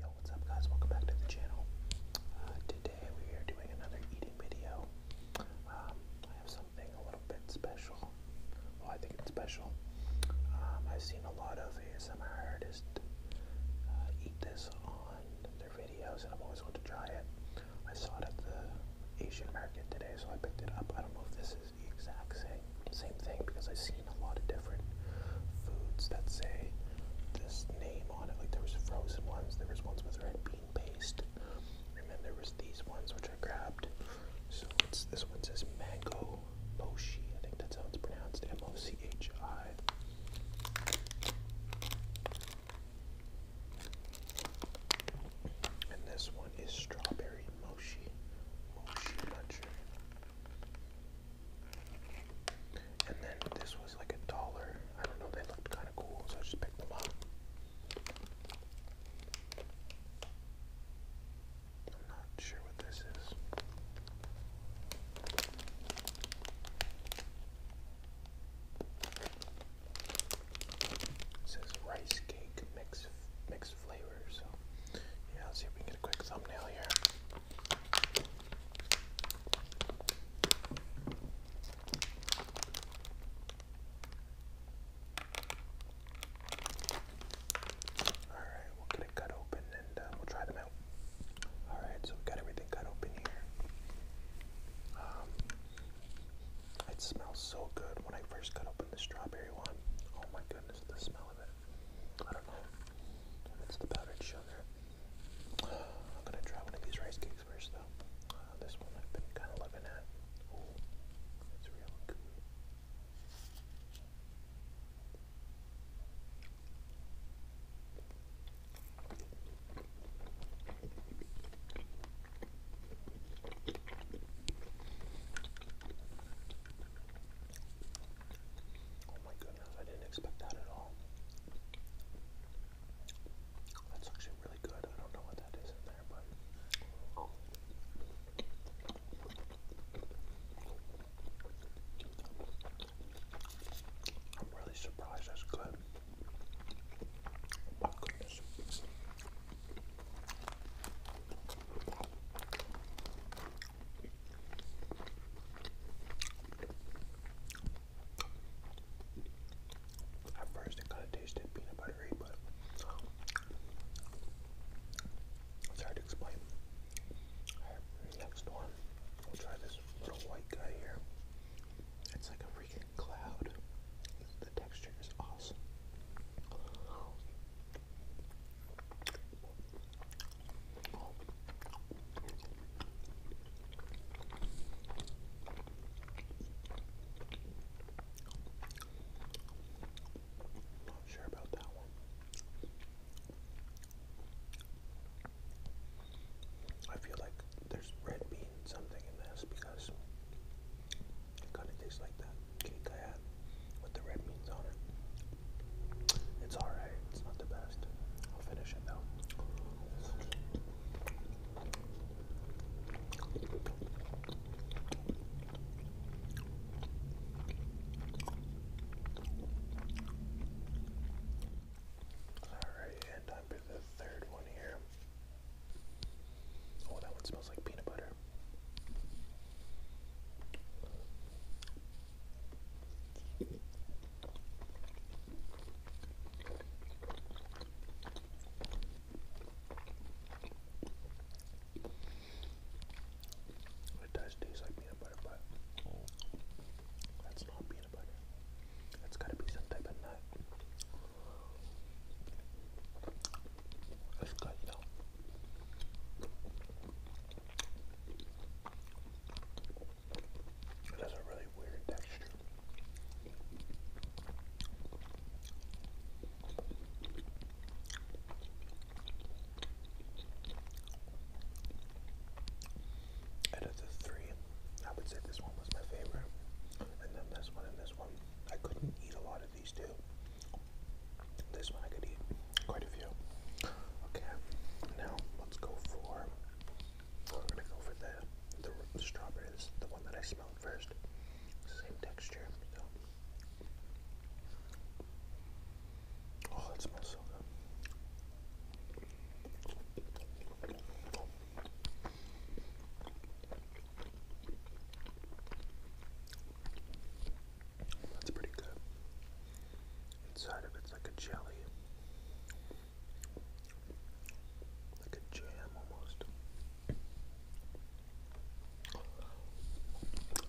Yo, what's up guys? Welcome back to the channel. Uh, today we are doing another eating video. Um, I have something a little bit special. Well, I think it's special. Um, I've seen a lot of ASMR artists uh, eat this on their videos and I've always wanted to try it. I saw it at the Asian market today, so I picked it up. I don't know if this is the exact same same thing because I've seen a lot of different foods that say this name on it. Like there was frozen ones, there was ones with red bean paste, and then there was these ones which I grabbed. So it's this one says mango mochi. I think that's how it's pronounced. M O C H I. And this one is strawberry mochi, mochi muncher. And then this was like a dollar. I don't know, they looked kind of cool, so I just picked them up. I'm not sure what this is. It says rice cake mix mixed flavor. So yeah, let's see if we can get a quick thumbnail here. Alright, we'll get it cut open and uh, we'll try them out. Alright, so we got everything cut open here. Um, it smells so good when I first cut open the strawberry one. Oh my goodness, the smell of it. I don't know if it's the powdered sugar. I'm gonna try one of these rice cakes first though. Uh, this one I've been kind of looking at. Oh, it's real good. Oh my goodness, I didn't expect that at all. That's actually really good. I don't know what that is in there, but. I'm really surprised that's good. My goodness. At first, it kind of tasted peanut buttery, but it's hard to explain. next one. We'll try this little white guy here. It's like a cloud. The texture is awesome. Not sure about that one. I feel like there's red beans something in this because it kind of tastes like that cake I had with the red beans on it. It's alright, it's not the best. I'll finish it though. Alright, the third one here. Oh, that one smells like peanut butter. It does taste like peanut butter, but that's not peanut it has gotta be some type of nut. That's good though. It has a really weird texture. Out of the three, I would say this one was my favorite. And then this one and this one. I couldn't eat a lot of these two. This one I could eat quite a few. Okay, now let's go for. We're gonna go for the the, the the one that I smelled first. Same texture. So. Oh, that smells so good. That's pretty good. Inside of it's like a jelly. Like a jam almost.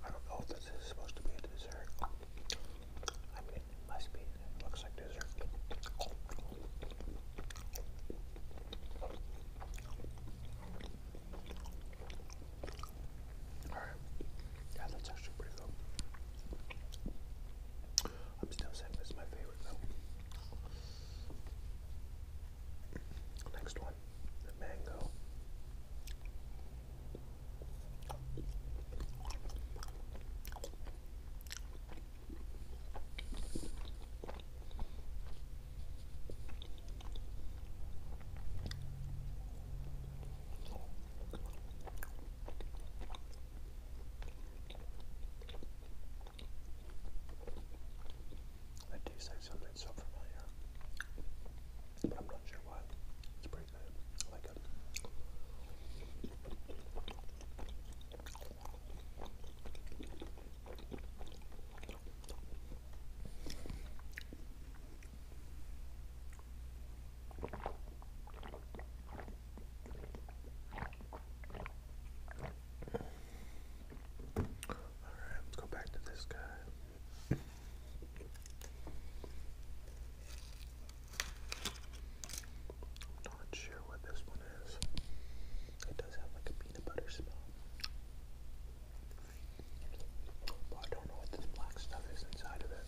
I don't know if this is supposed to be a dessert. Alright. Yeah, that's actually pretty good. I'm still saying this is my favorite though. Next one, the mango. That tastes like something so familiar, but I'm not sure what very good. All right, let's go back to this guy. not sure what this one is. It does have like a peanut butter smell. But I don't know what this black stuff is inside of it.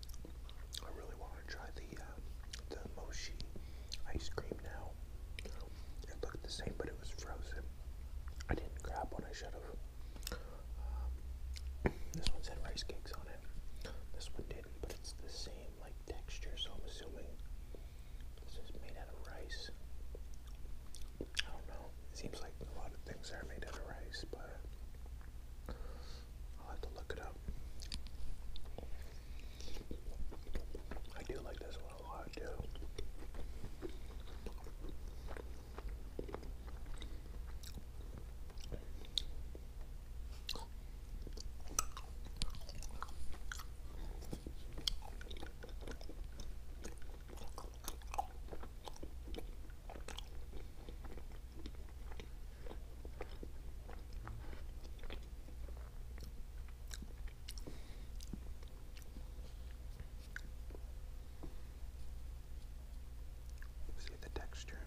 I really want to try the uh, the mochi ice cream now. It looked the same, but it was frozen. I didn't grab one. I should have. Um, this one said rice cakes on it. This one didn't, but it's the same like texture. So I'm assuming this is made out of rice. I don't know. seems like a lot of things are made out of rice, but I'll have to look it up. I do like this one a lot too. See the texture.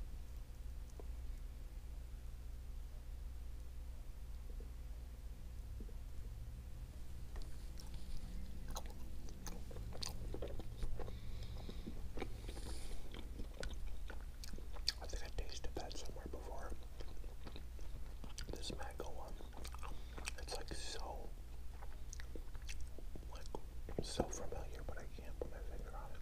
I think I tasted that somewhere before. This mango one. It's like so like so familiar, but I can't put my finger on it.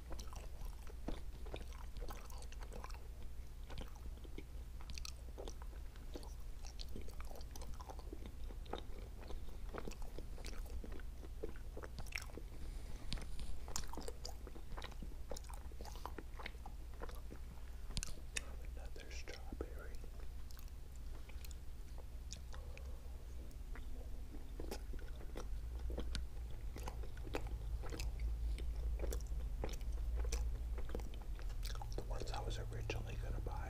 Another strawberry. The ones I was originally going to buy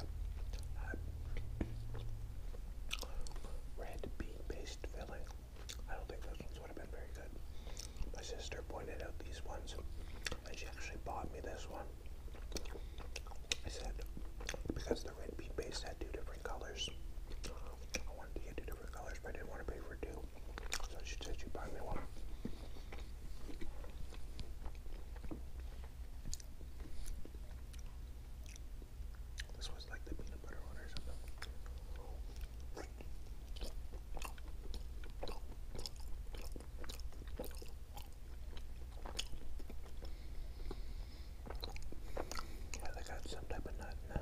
red bean based filling. I don't think those ones would have been very good. My sister pointed out these ones and she actually bought me this one. I said, because the red bean base had two different colors, I wanted to get two different colors, but I didn't want to pay for two. So she said she'd buy me one. This was like the peanut butter one or something. I got some type of nut I'm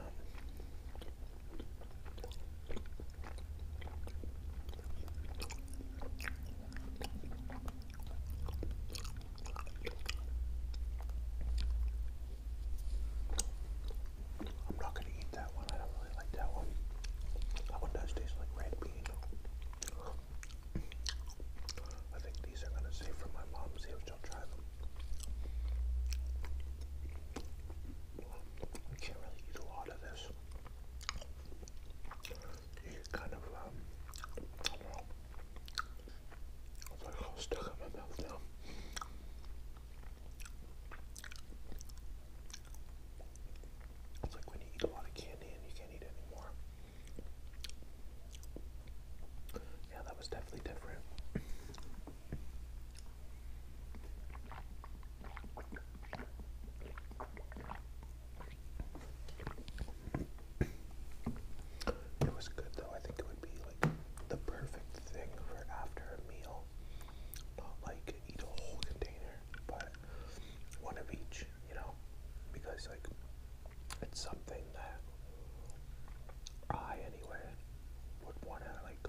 not gonna eat that one. I don't really like that one. That one does taste like red bean. I think these are gonna save for my mom, see don't try them. can't really eat a lot of this. You kind of, I don't know. It's like when you eat a lot of candy and you can't eat anymore. Yeah, that was definitely different. It was good though. I think it would be like the perfect thing for after a meal. Not like eat a whole container, but one of each, you know? Because like it's something that I, anyway, would want to like.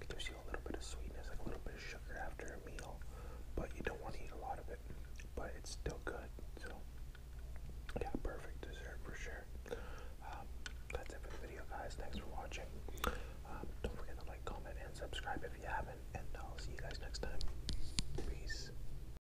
It gives you a little bit of sweetness, like a little bit of sugar after a meal, but you don't want to eat a lot of it. But it's still good, so yeah, perfect dessert for sure. Um, that's it for the video, guys. Thanks for watching. Um, don't forget to like, comment, and subscribe if you haven't, and I'll see you guys next time. Peace.